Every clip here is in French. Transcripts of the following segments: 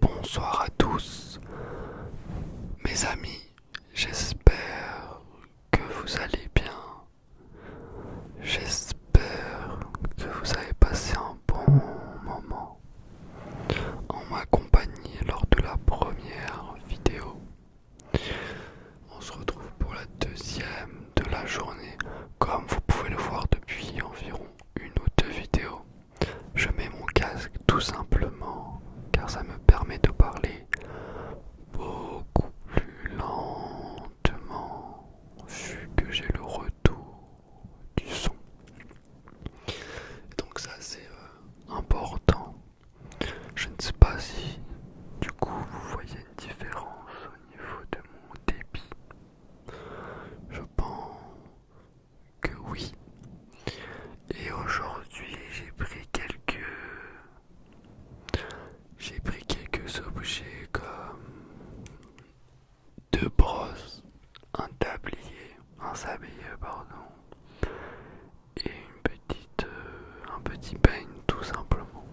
Bonsoir à tous mes amis, j'espère que vous allez bien, j'espère que vous avez passé un bon moment en ma compagnie lors de la première vidéo. On se retrouve pour la deuxième de la journée, comme vous pouvez le voir depuis environ une ou deux vidéos. Je mets mon casque tout simplement car ça me permet de parler beaucoup plus lentement vu que j'ai le retour du son. Donc ça c'est euh, important. Je ne sais pas si du coup vous voyez une différence au niveau de mon débit Je pense que oui. Et aujourd'hui, j'ai pris quelques j'ai pris quelques objets comme deux brosses, un tablier, un sablier pardon, et une petite, euh, un petit peigne tout simplement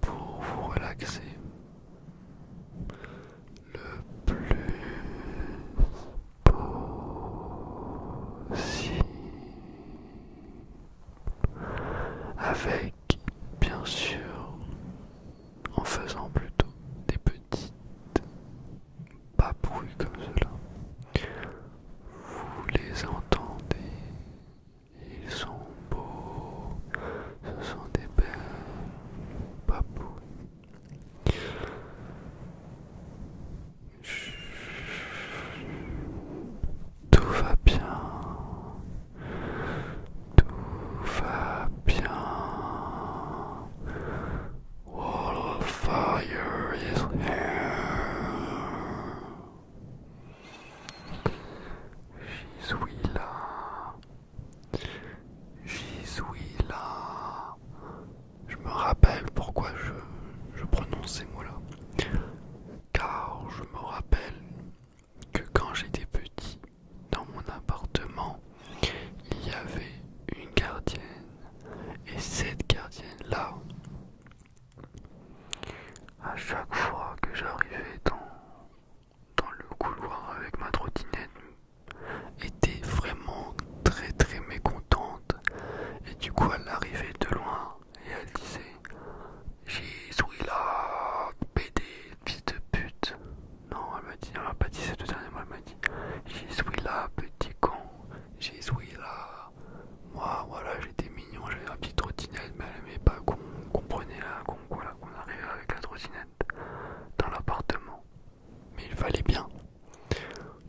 pour vous relaxer le plus possible avec bien sûr en faisant plutôt des petites papouilles comme cela vous les entendez ils sont beaux, ce sont des belles papouilles. Tout va bien, tout va bien. fire J'suis là Je me rappelle pourquoi je, je prononce ces mots-là. Car je me rappelle que quand j'étais petit, dans mon appartement, il y avait une gardienne. Et cette gardienne-là, à chaque fois que j'arrivais dans, le couloir avec ma trottinette, était vraiment très très mécontente. Et du coup, elle arrivait de loin et elle disait J'y là, pédé, fils de pute. Non, elle m'a dit, elle m'a pas dit cette dernière, elle m'a dit J'y suis là, petit con, j'y suis là moi, voilà j'étais mignon, j'avais un petite trottinette, mais elle aimait pas qu'on comprenait prenait la, qu'on arrivait avec la trottinette dans l'appartement. Mais il fallait bien,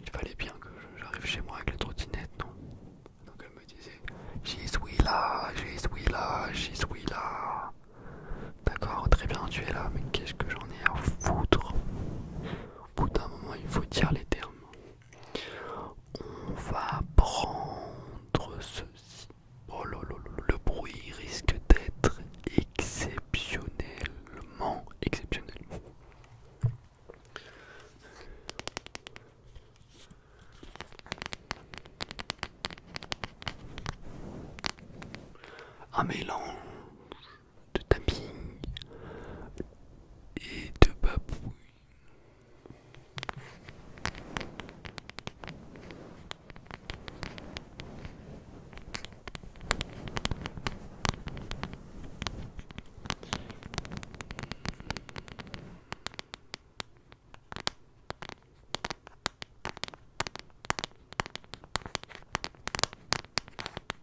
il fallait bien que j'arrive chez moi avec la trottinette, Donc elle me disait, J'ai suis là, j'y j'ai là, D'accord, très bien, tu es là, mais qu'est-ce que j'en ai à foutre Au bout d'un moment, il faut dire les termes. On va prendre ceci. Oh là le bruit risque d'être exceptionnellement exceptionnel. Un mélange de tapping et de babouille.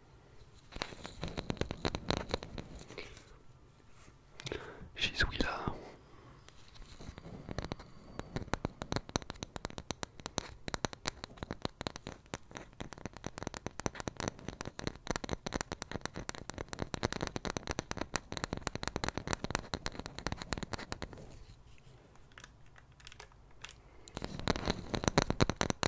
là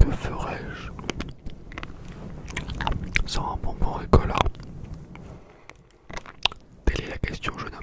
Que ferais-je sans un bonbon écola? Telle est la question, jeune homme.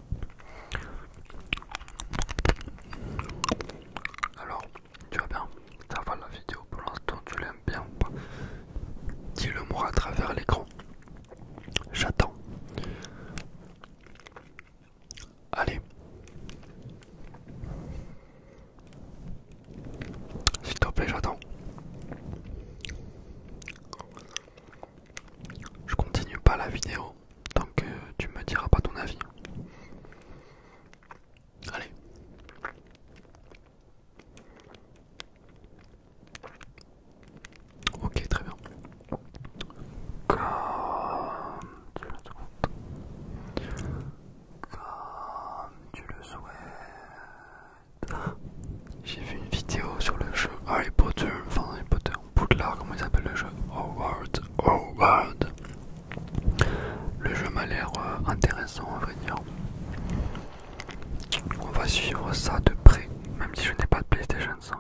Alors, tu vas bien Ça va la vidéo pour l'instant, tu l'aimes bien ou pas Dis-le moi à travers l'écran. J'attends. Allez. S'il te plaît, j'attends. Je continue pas la vidéo tant que tu me diras pas ton avis. Allez. Ok, très bien. Comme tu le souhaites. J'ai vu une vidéo sur le jeu Harry Potter, enfin Harry Potter, Poudlard, comment ils appellent le jeu Howard, Howard. Le jeu m'a l'air euh, intéressant à vrai dire. On va suivre ça de près, même si je n'ai pas de PlayStation 5,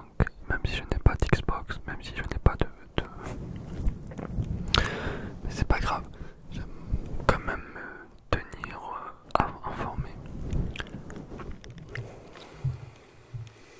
même si je n'ai pas d'Xbox, même si je n'ai pas de... Mais c'est pas grave, j'aime quand même me euh, tenir euh, informé.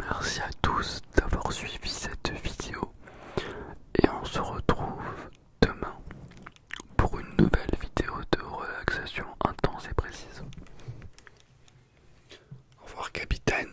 Merci à tous d'avoir suivi cette vidéo et on se retrouve demain pour une nouvelle vidéo de relaxation intense et précise. Au revoir capitaine.